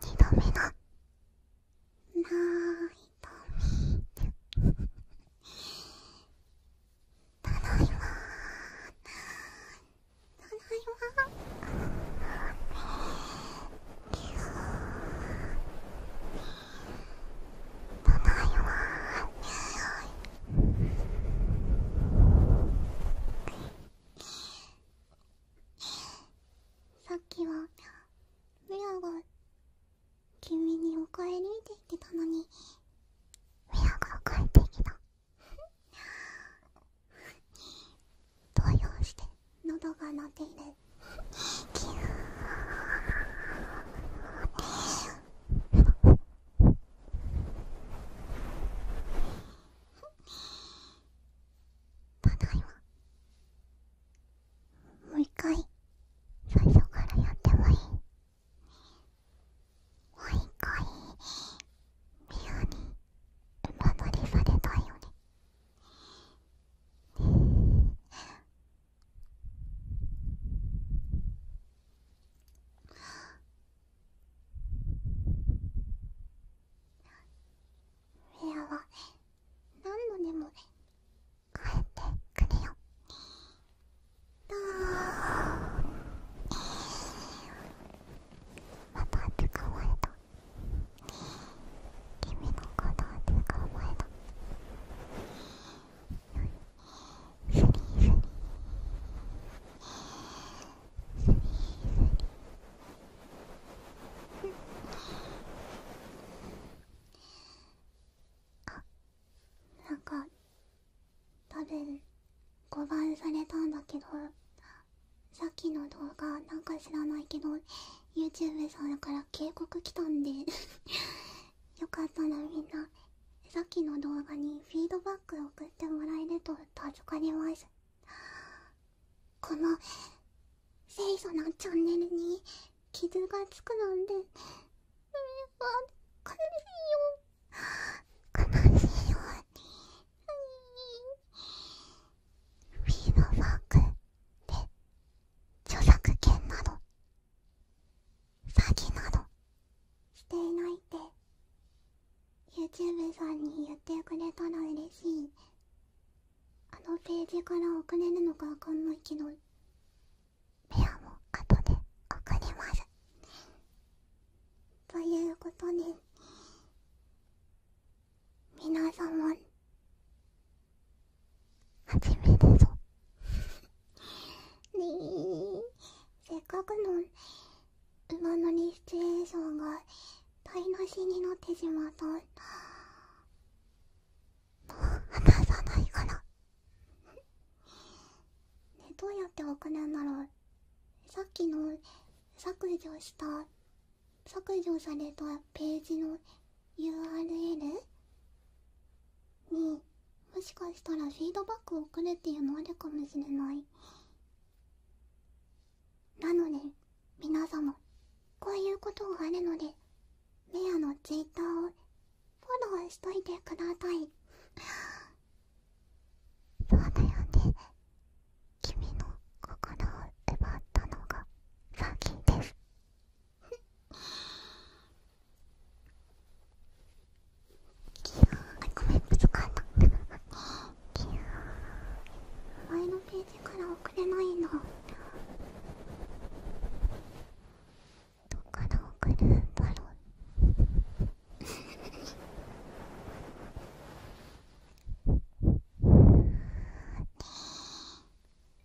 二度目のなーいとみて。ただいまーただいまーたいさっきはミアが君にお帰りって言ってたのにミアが帰ってきた動揺して喉が鳴っているキューふふただいまもう一回最初からやってもいいもう一回ミアに馬乗りされたいよねえ…フェアは何度でも帰ってくれよどうまた捕まえた君のことを捕まえたよしあなんか多分誤番されたんだけどさっきの動画なんか知らないけど YouTube さんから警告来たんでよかったらみんなさっきの動画にフィードバック送ってもらえると助かりますこの清楚なチャンネルに傷がつくなんて悲しいよ悲しいよフィードバックで著作権など詐欺などしていないって YouTube さんに言ってくれたら嬉しいあのページから送れるのかわかんないけどペアも後で送りますということで皆様。初めだぞねえせっかくの馬乗りシチュエーションが台無しになってしまったもう話さないからねどうやって送るんだろうさっきの削除した削除されたページの URL? にもしかしたらフィードバックをくれっていうのあるかもしれないなので皆様こういうことがあるのでメアのツイッターをフォローしといてくださいそうだよね君の心を奪ったのがサギですごめんぶつかったキュー前のページから送れないのどっから送るんだろうえー、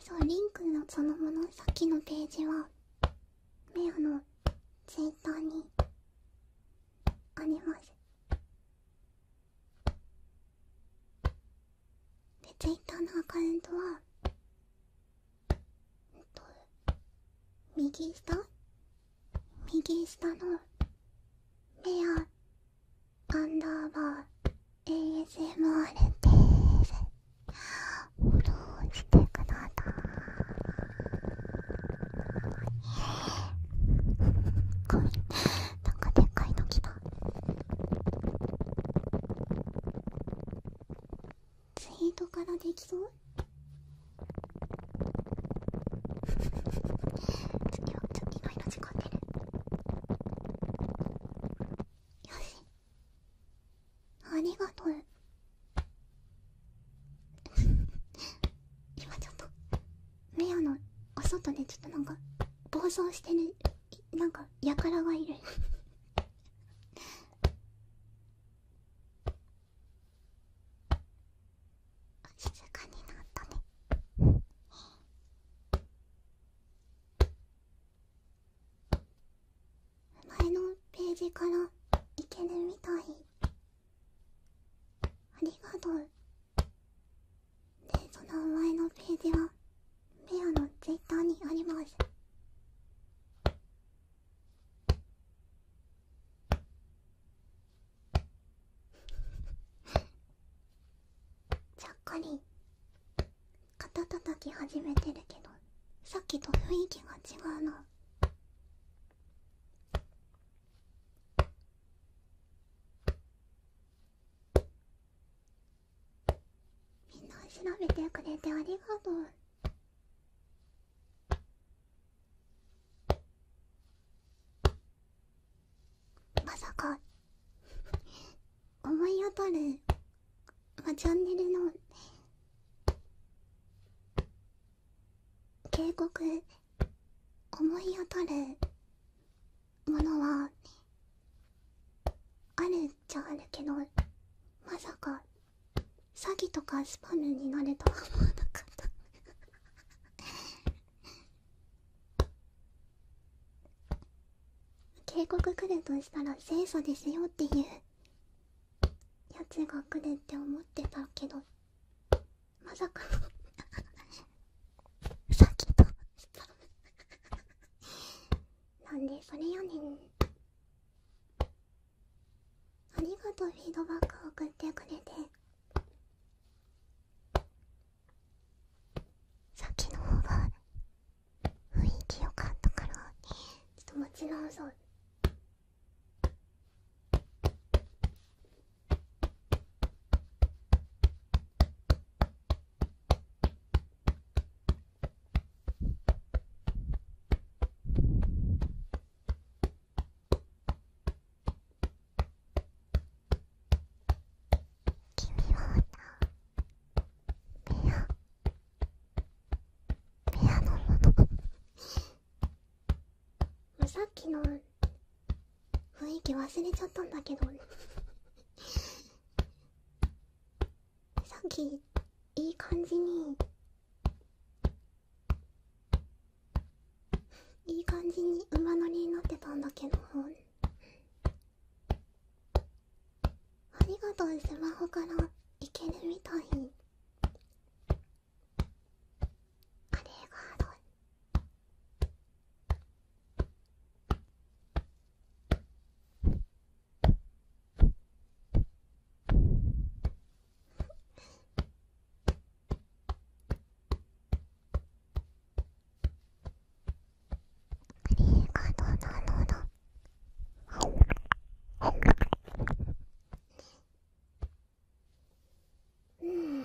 そうリンクのそのものさっきのページはメアのツイッターにありますでツイッターのアカウントはえっと右下右下の目アアンダーバー ASMR ですフォしてくださいこいなんかでっかいときだツイートからできそう次はちょっと意外な時間でねよしありがとう今ちょっとメアのお外でちょっとなんか暴走してるなんかやからがいる静かになったね前のページからいけるみたいありがとうでその前のページはペアのツイッターにありますちゃっかり肩たたき始めてるけどさっきと雰囲気が違うな。みんな調べてくれてありがとう。まさか思い当たる、ま、チャンネルの警告思い当たるものはあるっちゃあるけどまさか詐欺とかスパムになるとは思わなかった 警告くれとしたら清楚ですよっていうやつが来るって思ってたけどまさかの 詐欺とスパムなんでそれよねんありがとうフィードバックを送ってくれてさっきの方が雰囲気良かったからちょっともう違うぞ君は。ペア。ペアのものさっきの雰囲気忘れちゃったんだけど さっきいい感じにいい感じに馬乗りになってたんだけどありがとうスマホからいけるみたいあれがあるとうなのだ。い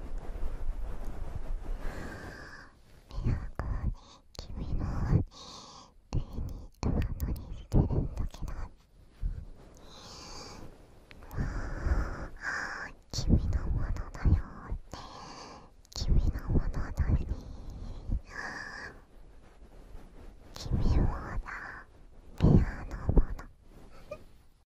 美穂子に君の手にドアノしてるんだけどは君のものだよって、君のものだし君は、だペアのもの